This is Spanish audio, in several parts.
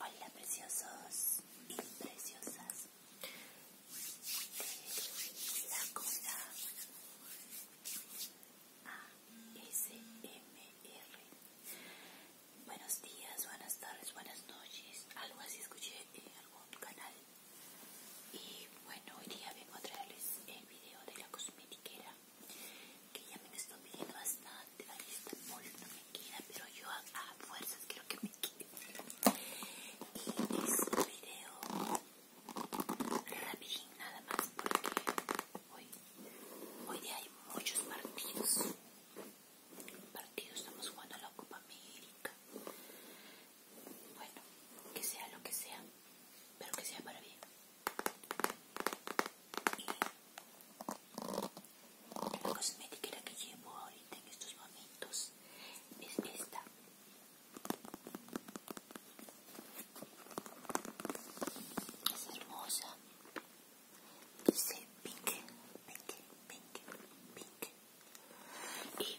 Hola preciosos y preciosas la m ASMR. Buenos días, buenas tardes, buenas noches. Algo así escuché en algún canal. Y bueno, hoy día vengo a traerles el video de la cosmetiquera que ya me estoy pidiendo bastante. Ahí está el no me queda, pero yo a, fuerzas quiero que me quede. Y es un video rapidín nada más porque hoy, hoy día hay muchos partidos. Partidos, estamos jugando a la Copa América. Bueno, que sea lo que sea, pero que sea para bien y la cosmética que llevo ahorita en estos momentos es esta es hermosa dice pink pink pink pink y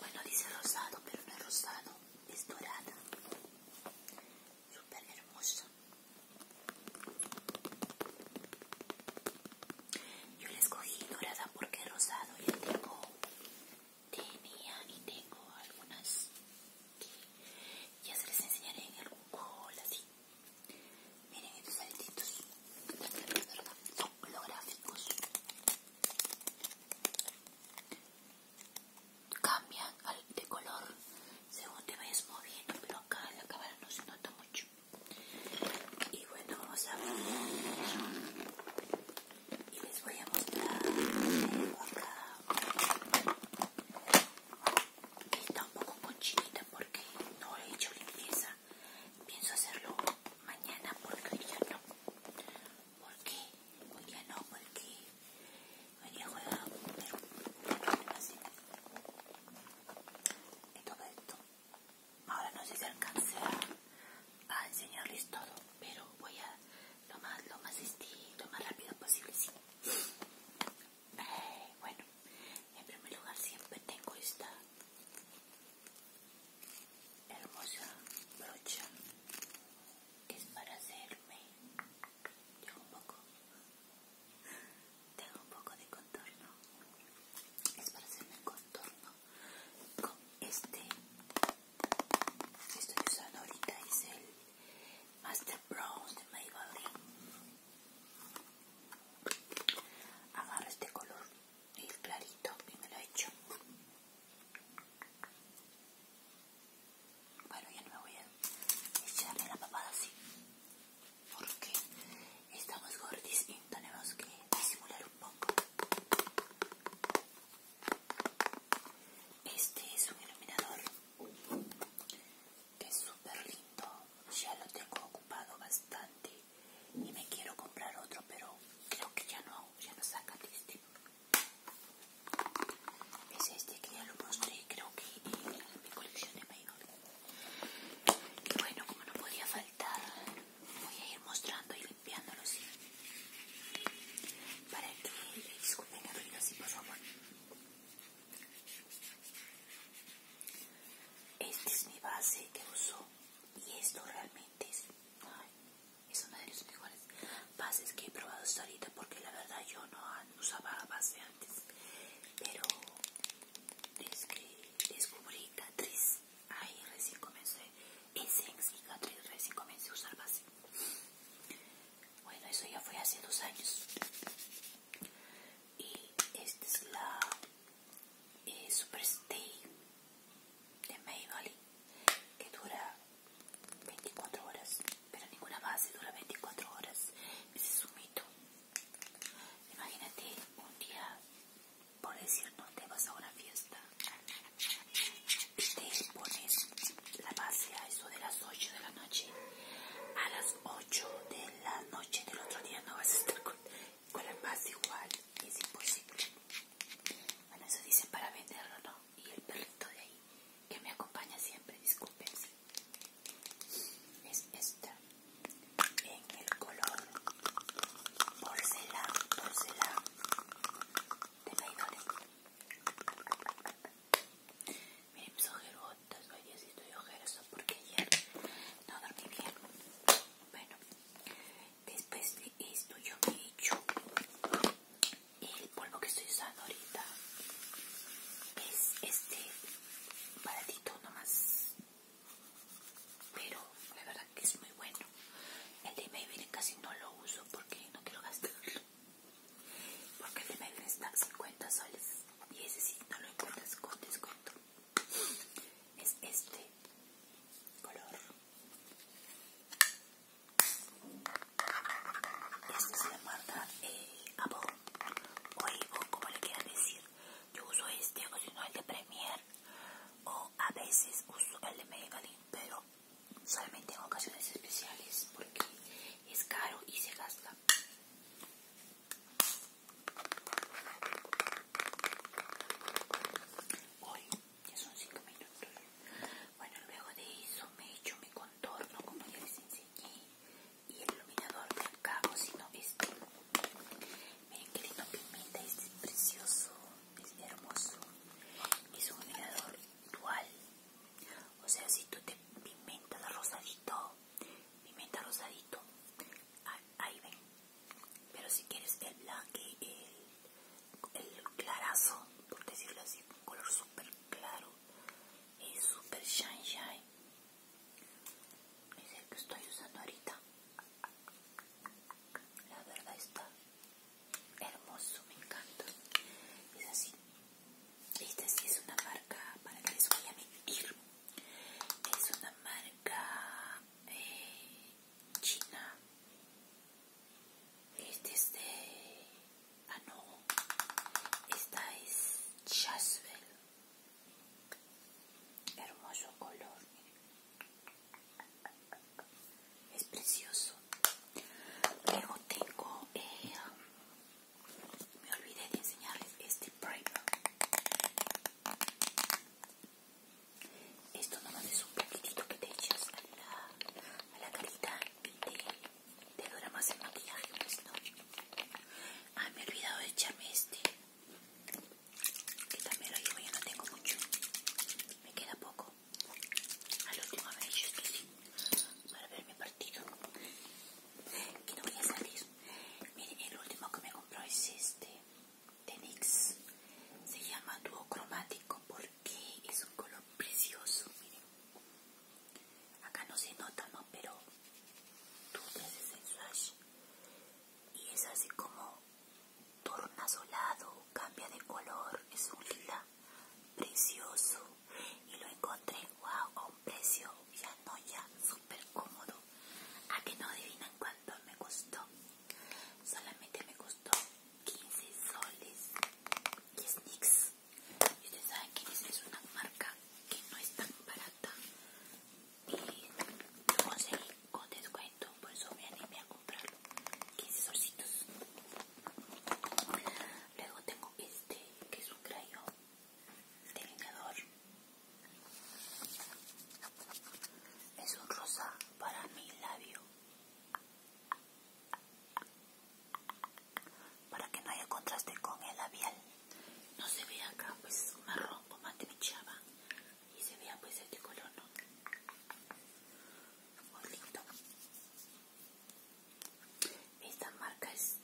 bueno dice rosado pero no es rosado es dorada super hermoso yo la escogí dorada porque rosado ya tengo tenía y tengo algunas ya se les enseñaré en algún cola. así miren estos aletitos son holográficos cambia de color según te vayas moviendo pero acá en la cámara no se nota mucho y bueno vamos a ver y les voy a mostrar acá está un poco conchinita porque no he hecho limpieza pienso hacerlo mañana porque hoy ya no porque hoy ya no porque venía pero todo esto ahora no sé si alcanzar a, enseñarles todo pero voy a lo más lo este, lo más rápido posible eh, bueno en primer lugar siempre tengo esta hermosa brocha que es para hacerme un poco tengo un poco de contorno es para hacerme el contorno con este que estoy usando ahorita es el Master Bronze de Maybelline agarro este color el clarito y me lo he hecho bueno, ya no me voy a echarle la papada así. Porque estamos gordis y tenemos que disimular un poco. Este es un iluminador que es súper lindo. Ya lo tengo ocupado bastante y me quiero comprar otro, pero creo que ya no, ya no saca este. Es este que ya lo mostré, creo que en mi colección de mayor. bueno, como no podía faltar, voy a ir mostrando y limpiándolo Para que disculpen el ruido así, por favor. este es mi base que uso y esto realmente es, ay, es una de los mejores bases que he probado hasta ahorita porque la verdad yo no, usaba base antes, pero desde que descubrí Catrice, ahí recién comencé, Essence y recién comencé a usar base. Bueno, eso ya fue hace dos años. Y esta es la eh, Super Stay de Maybelline, que dura 24 horas, pero ninguna base dura 24 horas. Ese es un mito. Imagínate un día, por decir, no te vas a una fiesta te pones la base a eso de las 8 de la noche. A las 8 de la noche del otro día no vas a estar con, con la base igual. Es imposible. Bueno, eso dicen para venderlo, ¿no? y el perrito de ahí que me acompaña siempre, disculpen es esta en el color porcelana, porcelana de Maidores miren mis ojerotas, oye si estoy ojerosa porque ayer no dormí bien bueno después de esto yo me he hecho el polvo que estoy usando ahorita es este baratito nomás pero la verdad que es muy bueno el de Maybelline casi no lo uso porque no quiero gastarlo porque el de Maybelline está a 50 soles y ese sí no lo encuentras con descuento es este color esto se llama eh, a o Evo, como le quieran decir. Yo uso este, o si no el de Premiere, o a veces uso el de Maybelline, pero solamente en ocasiones especiales porque es caro y se gasta. Hoy ya son 5 minutos. Bueno, luego de eso me he mi contorno, como ya les enseñé, y el iluminador me o si no, este. Miren qué lindo pimenta, es precioso, es hermoso. Es un iluminador dual, o sea, si tú te pimentas rosadito, pimenta rosadito, ahí ven. Pero si quieres el blanco, el, el clarazo, por decirlo así, un color súper claro, es super shine shine es el que estoy usando ahorita la verdad está hermoso me encanta es así esta sí es una marca para que les voy a mentir es una marca eh, china este es de Ah, no. Esta es Chasvel. Hermoso color, Es precioso. Luego tengo, eh, um, me olvidé de enseñarles este primer. Esto nomás es un pequeñito que te echas a la, a la carita te dura más el maquillaje, pues no. Ay, ah, me he olvidado de echarme este. Que también lo llevo, ya no tengo mucho. Me queda poco. Al último me he hecho esto, sí. Para ver mi partido. Que no voy a salir. Miren, el último que me compró es este. De NYX. Se llama Duo Cromático porque es un color precioso. Miren acá no se nota no pero tú te haces el y es así como tornasolado cambia de color es un lila precioso y lo encontré wow a un precio ya no ya súper cómodo a que no adivinan cuánto me costó solamente me costó 15 soles y es y ustedes saben que es una marca que no es tan barata. Y lo conseguí con descuento, por eso me animé a comprarlo. 15 solcitos. Luego tengo este, que es un crayón delineador. Es un rosa para mi labio para que no haya contraste con el labial no se vea acá pues marrón o mate me y se vea pues este color muy lindo esta marca es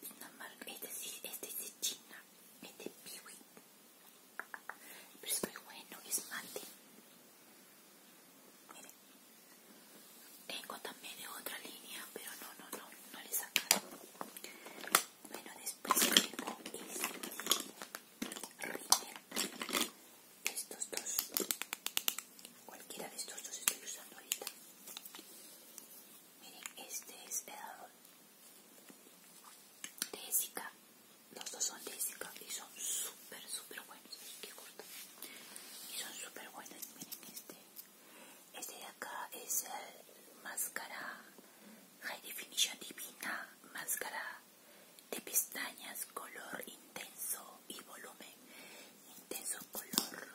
este este China, este, es de China este de Piwi pero es muy bueno es mate miren tengo también otra línea, pero no, no, no, no le he sacado. Bueno, después tengo este Estos dos. Cualquiera de estos dos estoy usando ahorita. Miren, este es de Jessica. Los dos son de Jessica y son súper, súper buenos. Qué corto. Y son súper buenos. Miren este. Este de acá es el máscara High Definition Divina, máscara de pestañas, color intenso y volumen, intenso color.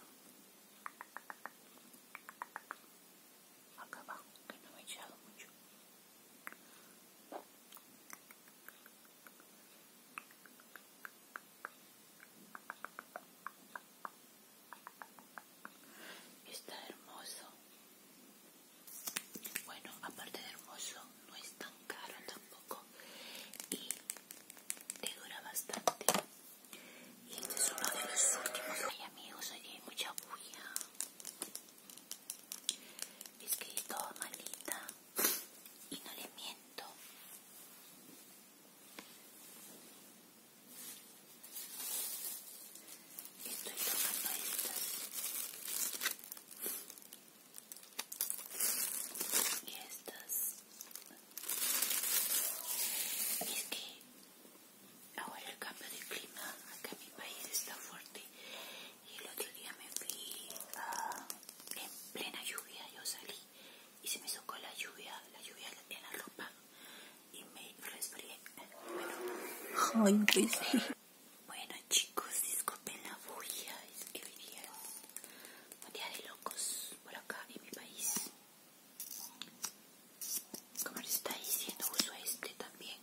Acá abajo, que no me he echado mucho. Está hermoso. Bueno, aparte de hermoso, no es tan caro tampoco. Y te dura bastante. Y este es uno de los últimos. Ay, amigos, hay mucha bulla. Es que es malita. Y no le miento. Estoy tomando estas y estas. Y es que ahora el cambio de clima acá en mi país está fuerte. Y el otro día me fui ah, en plena lluvia, yo salí y se me socó la lluvia, la lluvia en la ropa y me resfrié. Bueno, bueno chicos, disculpen la bulla, es que hoy de locos por acá en mi país. Como les está diciendo, uso este también,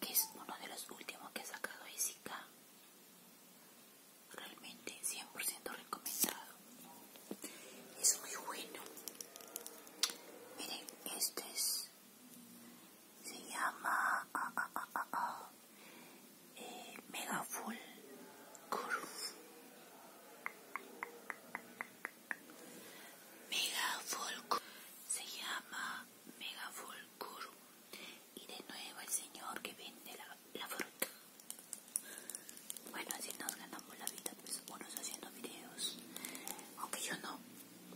que es uno de los últimos que he sacado S&K realmente 100% recomendado es muy bueno miren este es se llama mega full curve mega full se llama mega full y de nuevo el señor que vende la la fruta. Bueno, así nos ganamos la vida, pues unos haciendo videos. Aunque yo no,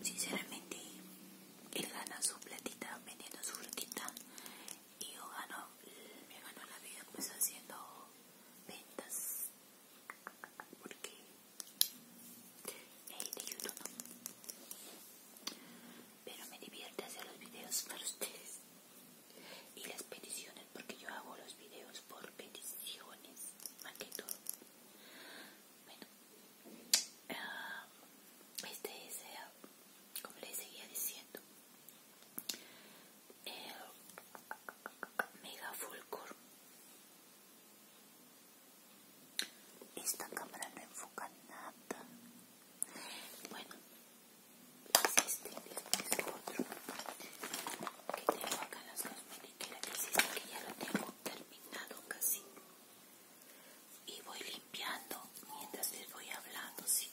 sinceramente, él gana su platita vendiendo su frutita y yo gano, me gano la vida pues haciendo ventas. Porque él de YouTube no. Pero me divierte hacer los videos para ustedes y las peticiones porque yo hago los videos por peticiones más que todo bueno ah, este es eh, como les seguía diciendo el eh, mega full esta cámara no enfoca nada bueno existe es otro que tengo acá las dos que que existe que ya lo tengo terminado casi y voy limpiando mientras les voy hablando sí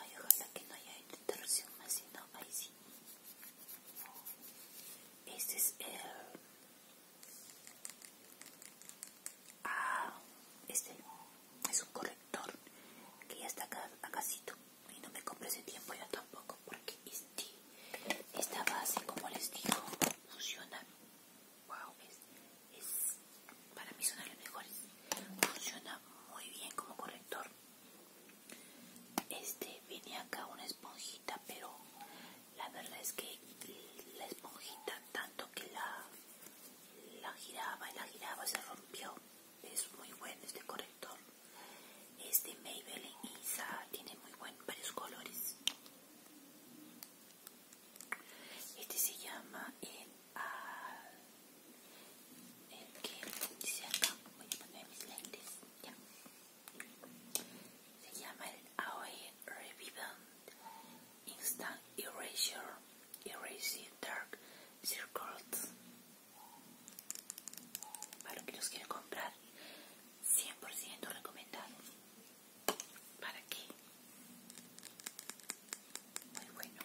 ay ojalá que no haya interrupción más si no ahí sí este es el Ah, este es un corrector que ya está a casito y no me compre ese tiempo ya tampoco porque este, esta base como les digo funciona wow es, es para mí son las mejores funciona muy bien como corrector este viene acá una esponjita pero la verdad es que la esponjita tanto que la la giraba y la giraba se rompió. Es muy bueno este corrector. Este Maybelline Isa, tiene muy buen, varios colores. Este se llama el, ah, el que dice acá, voy a poner mis lentes, Se llama el AOE Revivant Instant Erasure erasing dark circles para que los quieren comprar 100% recomendado para qué muy bueno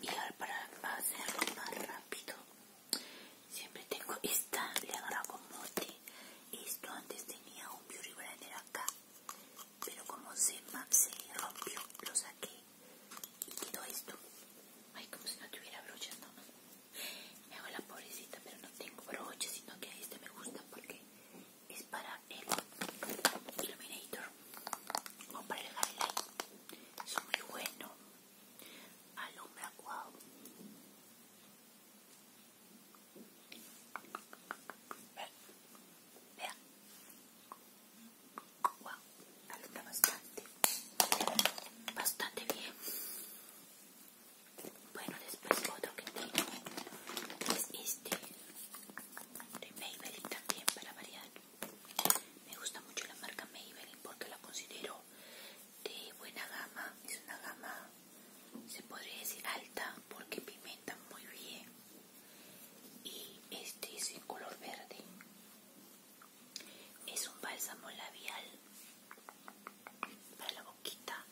y ahora para hacerlo más rápido siempre tengo esta le agarro con esto antes tenía un beauty blender acá pero como se, rompió, lo saqué y quedó esto. Ay, como si no tuviera broche no. Me hago la pobrecita, pero no tengo broche sino que este me gusta porque es para el Illuminator o para el highlight. Es muy bueno. Alumbra, wow. Vean, Wow, bastante. Bastante bien. Bueno, después otro que tengo es este de Maybelline también para variar. Me gusta mucho la marca Maybelline porque la considero de buena gama. Es una gama se podría decir alta porque pimenta muy bien y este es en color verde es un bálsamo labial para la boquita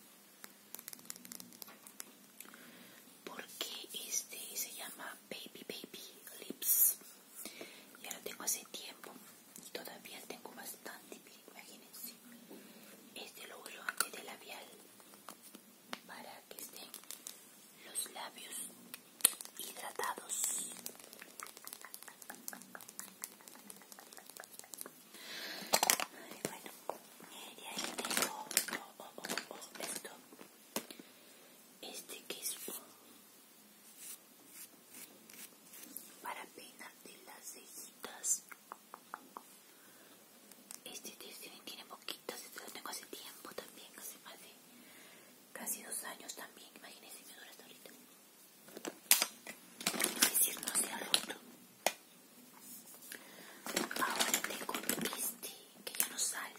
porque este se llama baby baby lips ya lo tengo hace tiempo y todavía tengo bastante imagínense este lo uso antes de labial para que estén los labios hidratados. y eh, ahí tengo oh, oh, oh, esto. Este que es para peinarte las cejitas. Este tiene poquitas, este lo tengo hace tiempo también, hace casi dos años también. Imagínense, me dura hasta ahorita. Es decir, no se ha roto. Ahora tengo este que ya no sale.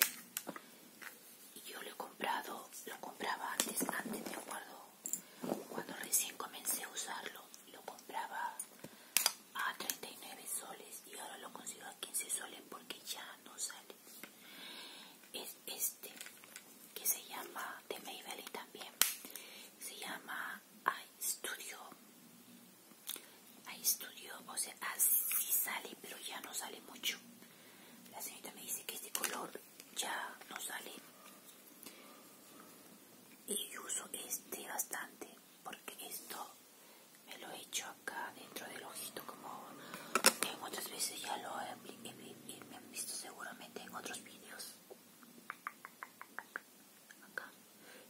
Y yo lo he comprado, lo compraba antes, antes me acuerdo, cuando recién comencé a usarlo, lo compraba a 39 soles y ahora lo consigo a 15 soles porque ya no sale es este que se llama de Maybelline también se llama iStudio iStudio o sea así sale pero ya no sale mucho la señorita me dice que este color ya no sale y uso este bastante porque esto me lo he hecho acá dentro del ojito como muchas veces ya lo he han visto seguramente en otros vídeos acá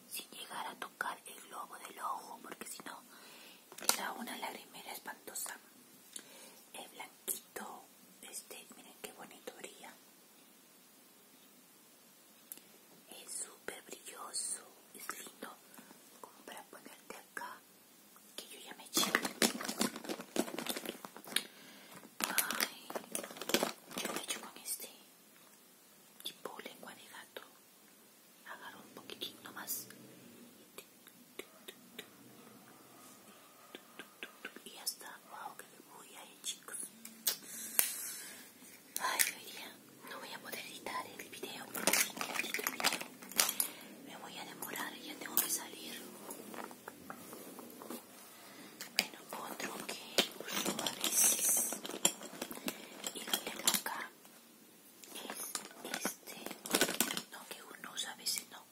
sin llegar a tocar el globo del ojo porque si no era una una lagrimera espantosa el blanquito este miren qué bonito brilla es súper brilloso es lindo como para ponerte acá que yo ya me eché ay yo me echo con este tipo lengua de gato agarro un poquitito más y ya está wow que me voy a ir chicos Ay, no voy a poder editar el video porque si no me voy a demorar ya tengo que salir. Bueno, otro que uso a veces y lo tengo acá es este. No, que uno usa a veces no.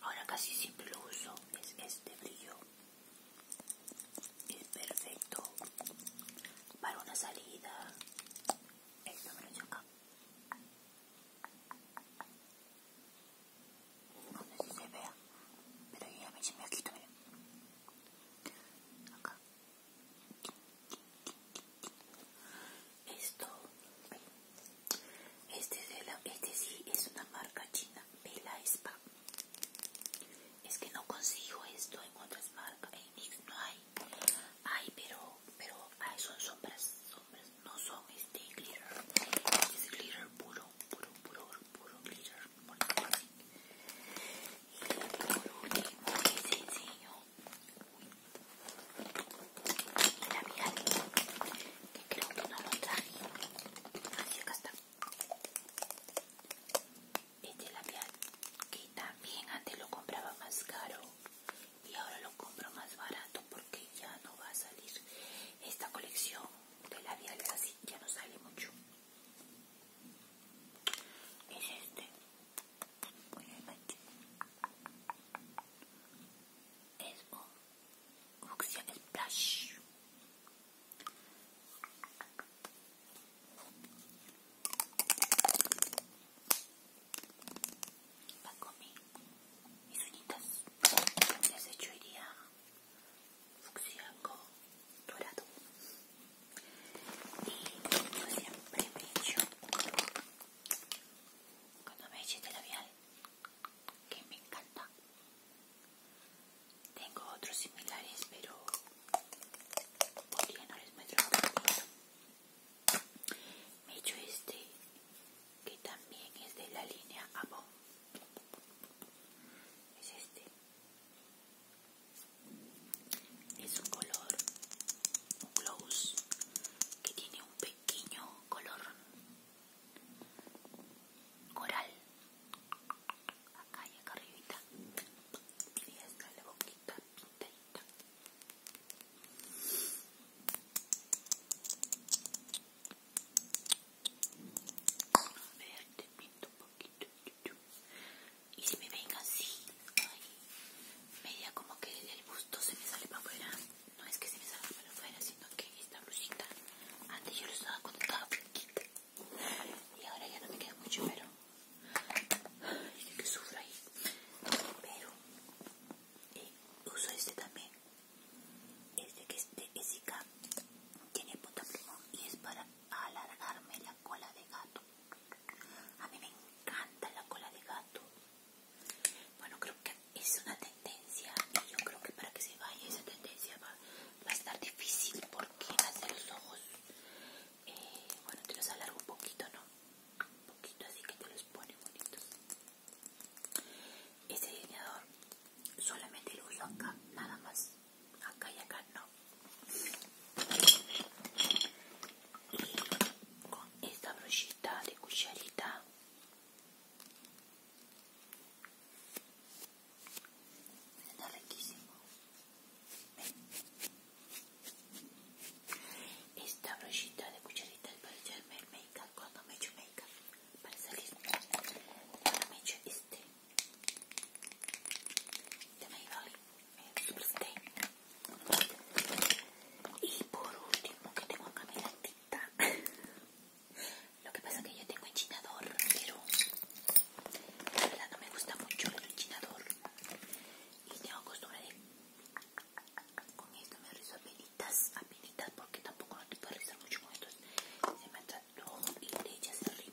Ahora casi siempre lo uso. Es este brillo es perfecto para una salida me lo lo acá no sé si se vea pero ya me se aquí también. acá esto este, es el. este sí es una marca china Vela Spa es que no consigo esto en otras marcas en no hay hay pero pero son sombras sombras no son este glitter es glitter puro puro puro puro glitter por así. y por último les enseño y mira, que creo que no lo traje así acá está este labial que también antes lo compraba más caro y ahora lo compro más barato porque ya no va a salir esta colección de labiales así ya no sale mucho es este es un función splash Bakumi, mis uñitas. Entonces yo iría fucsia con dorado. Y yo siempre me echo cuando me eché de este labial, que me encanta. Tengo otros similares, pero por no les muestro. Me he hecho este, que también es de la línea Avon. Es este. Es un color, un gloss, que tiene un pequeño color coral acá y acá arribita y está la boquita pintadita a ver te pinto un poquito y si me venga así ay, media como que del busto se me sale para afuera no es que se me salga para afuera sino que esta blusita antes yo lo usaba cuando estaba y ahora ya no me queda mucho pero es que sufro ahí pero eh, uso este también este que es de este, tiene punta primo y es para alargarme la cola de gato a mí me encanta la cola de gato bueno creo que es una tendencia y yo creo que para que se vaya esa tendencia va, a estar difícil porque hace los ojos eh, bueno te los alargo un poquito no un poquito así que te los pone bonitos este delineador solamente lo uso acá nada más acá y acá no y con esta brochita de cucharita Está riquísimo. Esta brochita de cucharitas para echarme el make cuando me echo make para salir. Ahora me echo este de Maybelline, Super Stay. Y por último, que tengo acá mi latita. Lo que pasa es que yo tengo enchinador, pero la verdad no me gusta mucho el luchinador. Y tengo costumbre de... Con esto me rizo pelitas, a pelitas, porque tampoco no te puedo rizar mucho con estos. Se me todo y te echas el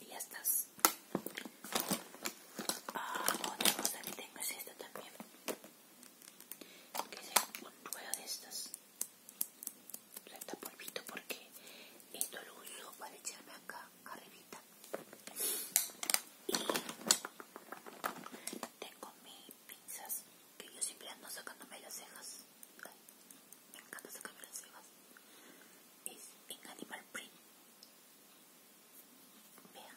Y ya estás. Ah, otra cosa que tengo es esta también. Que es un ruedo de estas está polvito porque esto lo uso para echarme acá arribita y tengo mis pinzas que yo siempre ando sacándome las cejas me encanta sacarme las cejas es en animal print vea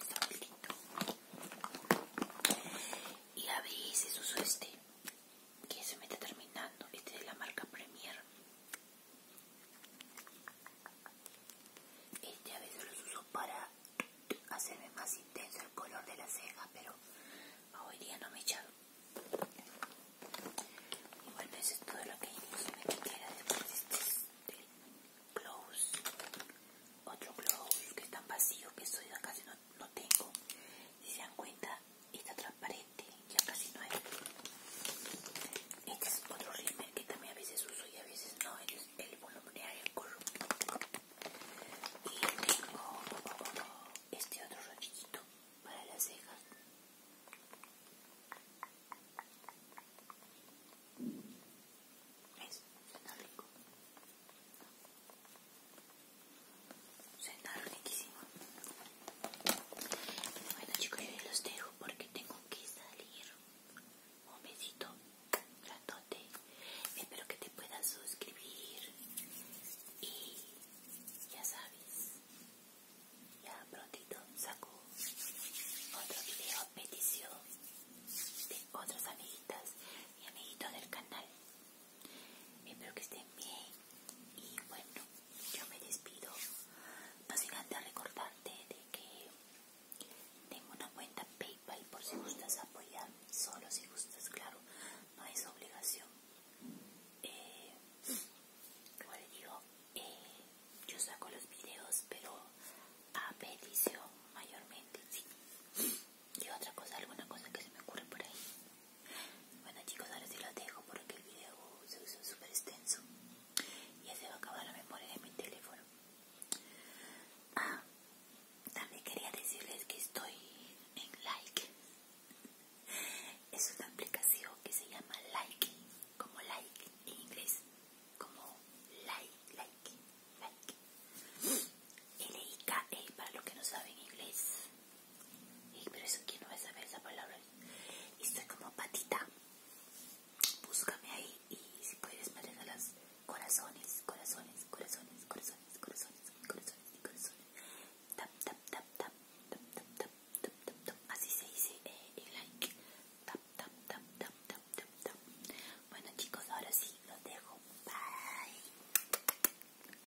está muy lindo y a veces uso este que se me está terminando. Este es de la marca Premier. Este a veces los uso para hacerme más intenso el color de la ceja, pero hoy día no me he echado. Y bueno, eso es todo lo que me queda después este es el gloss. Otro close que tan vacío que soy casi no, no tengo. Si se dan cuenta, y transparente, ya casi no hay. Este es otro rímel que también a veces uso y a veces no, el, el voluminario, el corrupto. Y tengo este otro rochito para las cejas. ¿Ves? rico. Suena riquísimo. Bueno chicos, yo los dejo porque tengo que salir. Un besito grandote. Espero que te puedas suscribir. Y ya sabes, ya prontito saco otro video petición de otras amiguitas y amiguitos del canal. Espero que estén bien. Y bueno, yo me despido. básicamente recordarte de que tengo una cuenta PayPal por si gustas apoyar. Solo si gustas, claro. No es obligación. Eh, como les digo, eh, yo saco los videos, pero a petición mayormente, sí. Y otra cosa, alguna cosa que se me ocurre por ahí. Bueno chicos, ahora sí los dejo porque el video se usa súper extenso. Y se va a acabar la memoria de mi teléfono. Ah, también quería decirles que estoy en Like. Es una aplicación que se llama Like, como Like en inglés, como Like, Like, Like. L-I-K-E para los que no saben inglés. Y pero eso quién no va a saber esa palabra. Y estoy como patita. Búscame ahí y si puedes me los corazones, corazones, corazones, corazones, corazones, corazones, corazones. Tap, tap, tap, tap, tap, tap, tap, tap, tap, tap. Así se dice el like. tap, tap, tap, tap, tap, tap. Bueno chicos, ahora sí, los dejo. Bye.